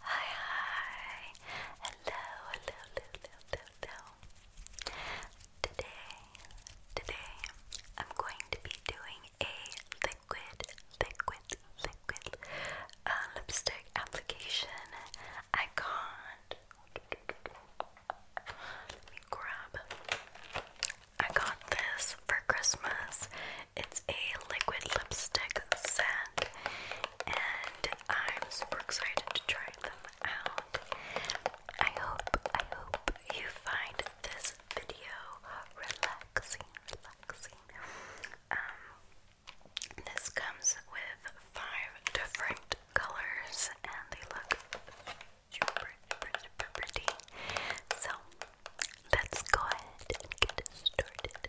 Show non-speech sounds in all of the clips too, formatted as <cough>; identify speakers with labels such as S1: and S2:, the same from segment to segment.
S1: Hi, hi. Hello, hello, hello, hello, Today, today, I'm going to be doing a liquid, liquid, liquid uh, lipstick application. I can grab. I got this for Christmas it's a liquid lipstick set, and I'm super excited to try them out. I hope, I hope you find this video relaxing, relaxing. Um, this comes with five different colors, and they look super, super pretty. So let's go ahead and get started.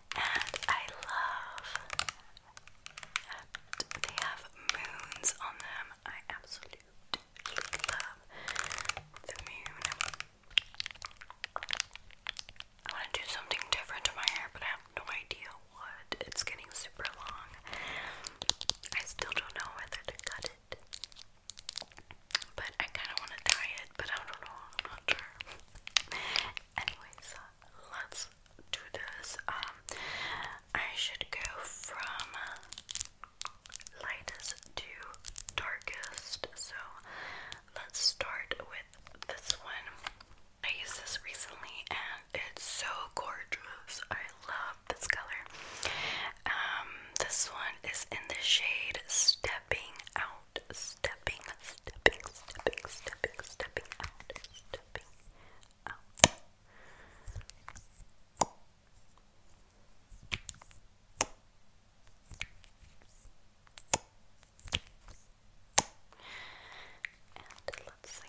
S1: and I love they have moons on them. I absolutely love the moon. I want to do something different to my hair, but I have no idea what. It's getting super long. I still don't know whether to cut it. But I kind of want to try it, but I don't know. not sure. Anyways, uh, let's do this. Um, I should go from lightest to darkest. So let's start with this one. I used this recently, and it's so gorgeous. I love this color. Um, this one is in the shade Stepping Out stepping, stepping, stepping, stepping, stepping out, stepping out. And let's see.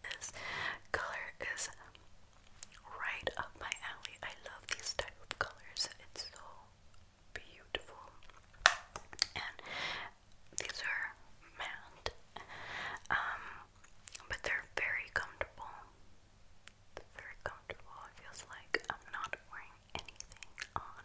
S1: This color is right up my alley. I love these type of colors. It's so beautiful. And these are matte. Um, but they're very comfortable. very comfortable. It feels like I'm not wearing anything on.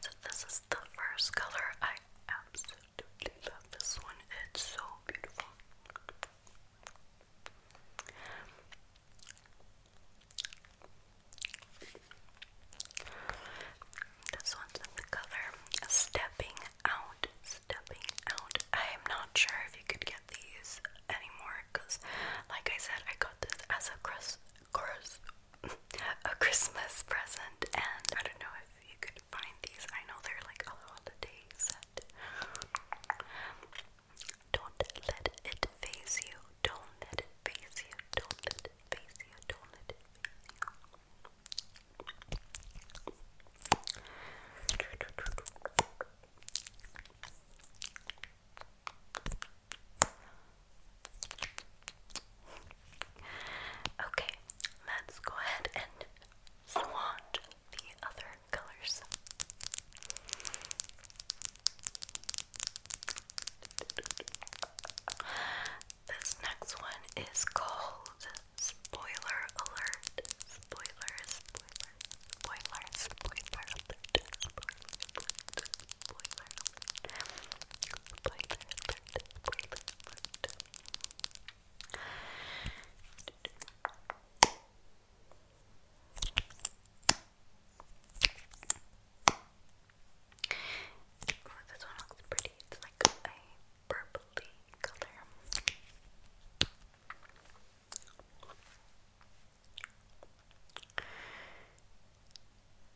S1: So, this is the first color I absolutely absolutely love this one. It's so beautiful. This one's in the color Stepping Out. Stepping Out. I am not sure if you could get these anymore because, like I said, I got this as a cross, cross a Christmas present, and I don't know if you could find these. I know they're like a holiday set. Don't let it phase you. Don't let it phase you. Don't let it phase you. Don't let it phase you. Okay, let's go ahead and swatch the other colors. This next one is called Spoiler Alert. Spoiler, spoiler, spoiler, spoiler Oh, this one looks pretty. It's like a purpley color.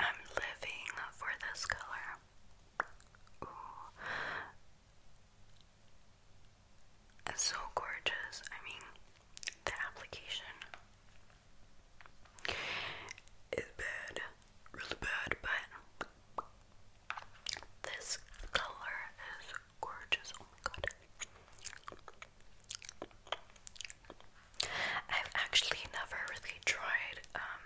S1: I'm living for this color. Ooh. so gorgeous. I mean, the application is bad, really bad, but this color is gorgeous. Oh my god. I've actually never really tried um,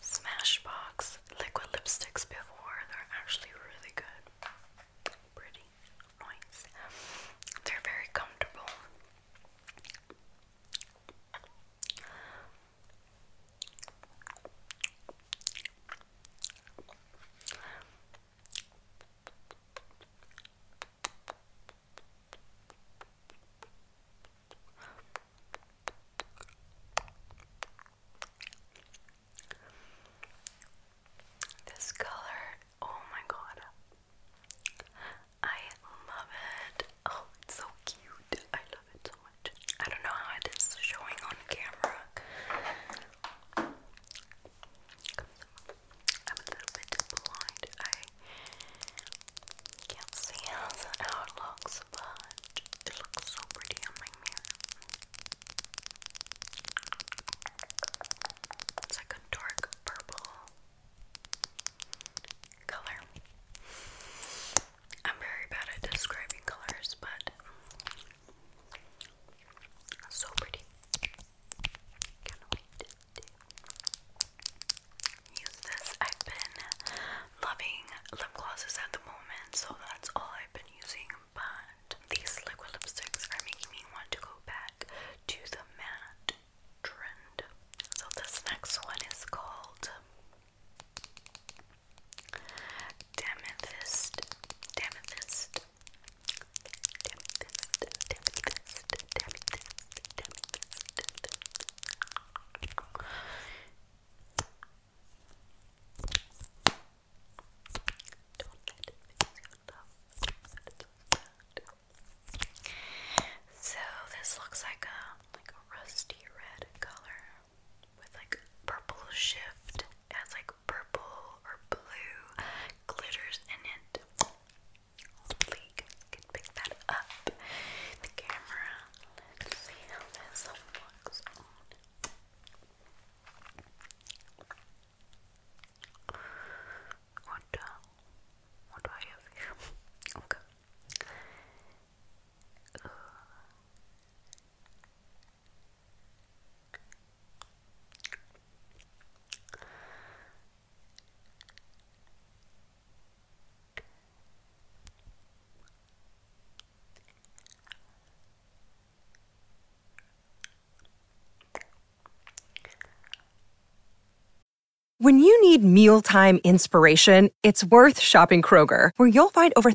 S1: Smashbox liquid lipsticks before. They're actually really good. Pretty nice. They're very comfortable. This color, oh my god. I love it. Oh, so cute. I love I don't know how it is showing on camera. I'm a little bit blind. I can't see how it looks, but it looks so pretty on my mirror. It's like a dark purple color. I'm very bad at describing colors, but so pretty. Use this. I've been loving lip glosses at the moment, so that's all I've been using. But these liquid lipsticks are making me want to go back to the matte trend. So this next one is called Damethyst, Damethyst, Damethyst, Damethyst, Damethyst, Damethyst. Don't let it make you love. So this looks like a like a rusty red color with like purple shift. It has like purple or blue glitters in it. Hopefully you guys can pick that up. The camera. Let's see how this looks What, uh, what do I have <laughs> okay. Uh, when you need mealtime inspiration, it's worth shopping Kroger, where you'll find over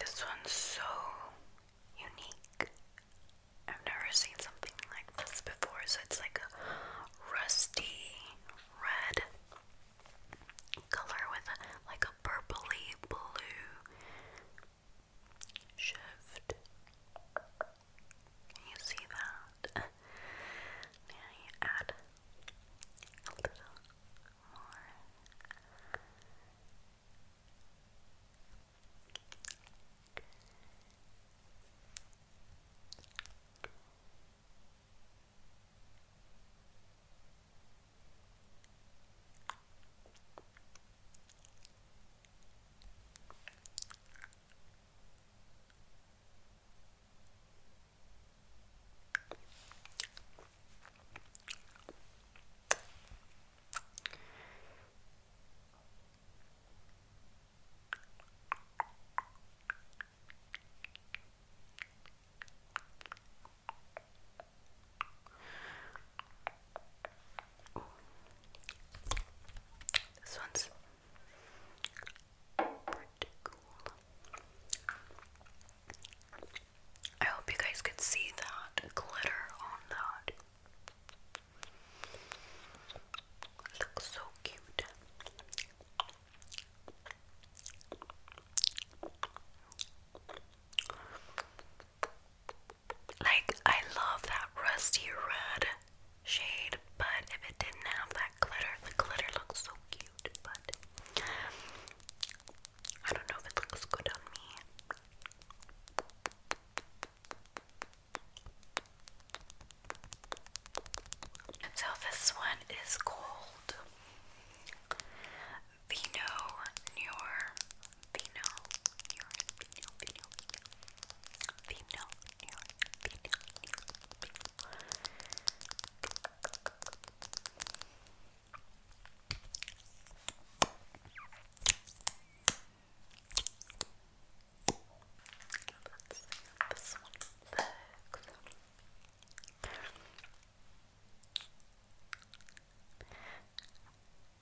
S1: This one's so unique. I've never seen something like this before, so it's like a rusty red color with like a purpley blue shift. Can you see that? now <laughs> you add a little more. Okay. This one's I hope you guys could see that glitter on that. Looks so cute. Like, I love that rusty red shade, but if it didn't have that glitter, the glitter looks so cute, but I don't know if it looks good on me. So this one is called Vino Nior Vino Nior female, female, female, female, female. Let's see how this one works.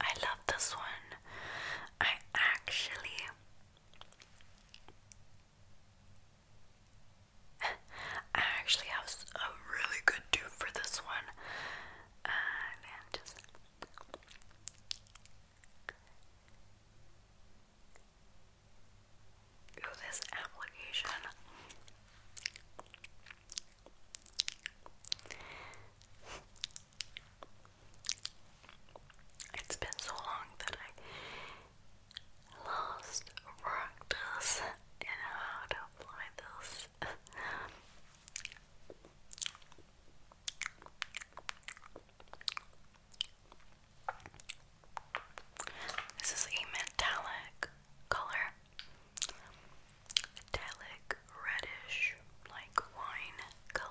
S1: I love this one. I actually <laughs> I actually have a really good dupe for this one this application. It's been so long that I lost practice in how to apply this. <laughs> This is a metallic color. Metallic reddish, like wine color.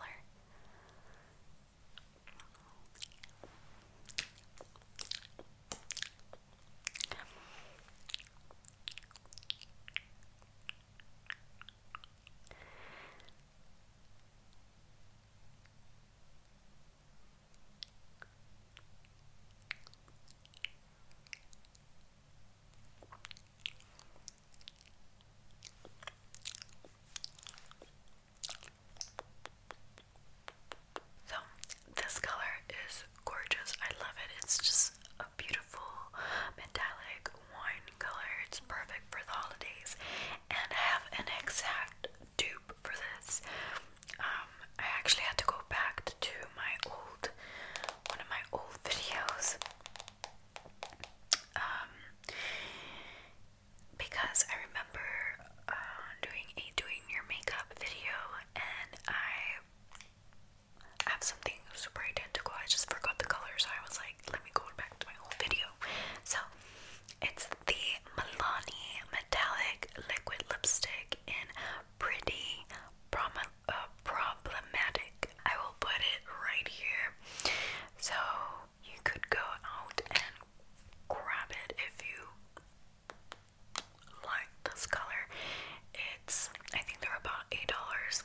S1: So, this color is gorgeous. I love it. It's just a beautiful metallic wine color. It's perfect for the holidays. And have an exact dupe for this. Um, I actually had to go back to my old one of my old videos. Um, because I remember uh, doing a doing your makeup video, and I have something super identical. I just forgot the color, so I was like, let me go back to my old video you. So it's the Milani Metallic Liquid Lipstick in Pretty uh, Problematic. I will put it right here. So you could go out and grab it if you like this color. It's, I think they're about $8.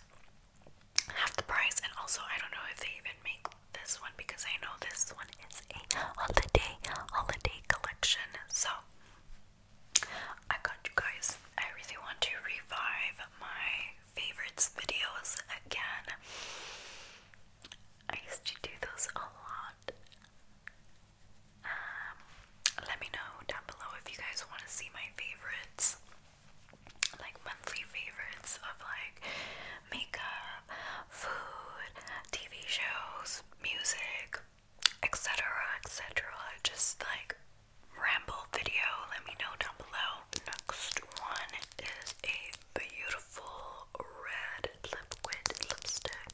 S1: Half the price, and also I don't know if they even make this one because I know this one is a holiday holiday collection. So I got you guys. I really want to revive my favorites videos again. I used to do those a lot. Um, let me know down below if you guys want to see my favorites, like monthly favorites of like makeup, food, TV shows, music, etc. etc. Just like ramble video. Let me know down below. Next one is a beautiful red liquid lipstick.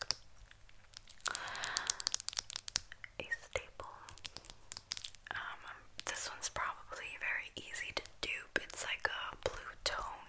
S1: A staple. Um, this one's probably very easy to dupe. It's like a blue tone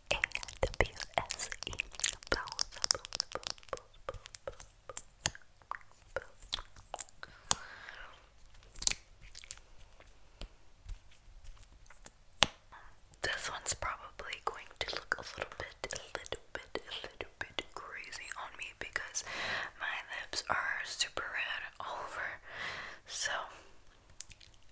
S1: this one's probably going to look a little bit, a little bit, a little bit crazy on me because my lips are super red over. So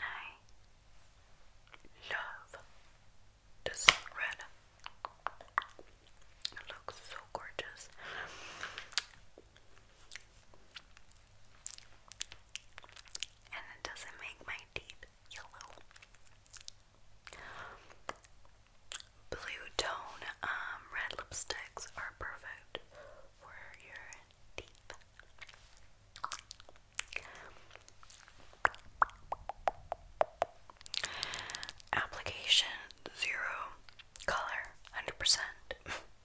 S1: I love this red. It looks so gorgeous and it doesn't make my teeth yellow. Blue tone um, red lipsticks are perfect for your teeth. Application zero, color 100%. <laughs>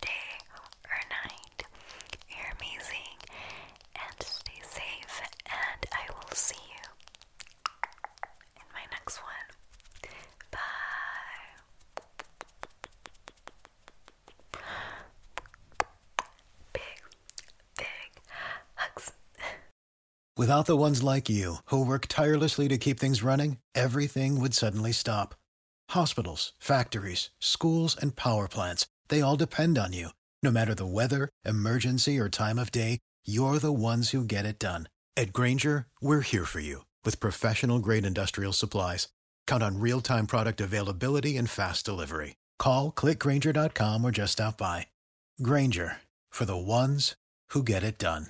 S1: day or night. You're amazing and stay safe, and I will see you in my next one. Bye. Big, big hugs. Without the ones like you, who work tirelessly to keep things running, everything would suddenly stop Hospitals, factories, schools, and power plants, they all depend on you. No matter the weather, emergency, or time of day, you're the ones who get it done. At Granger, we're here for you with professional grade industrial supplies. Count on real time product availability and fast delivery. Call clickgranger.com or just stop by. Granger for the ones who get it done.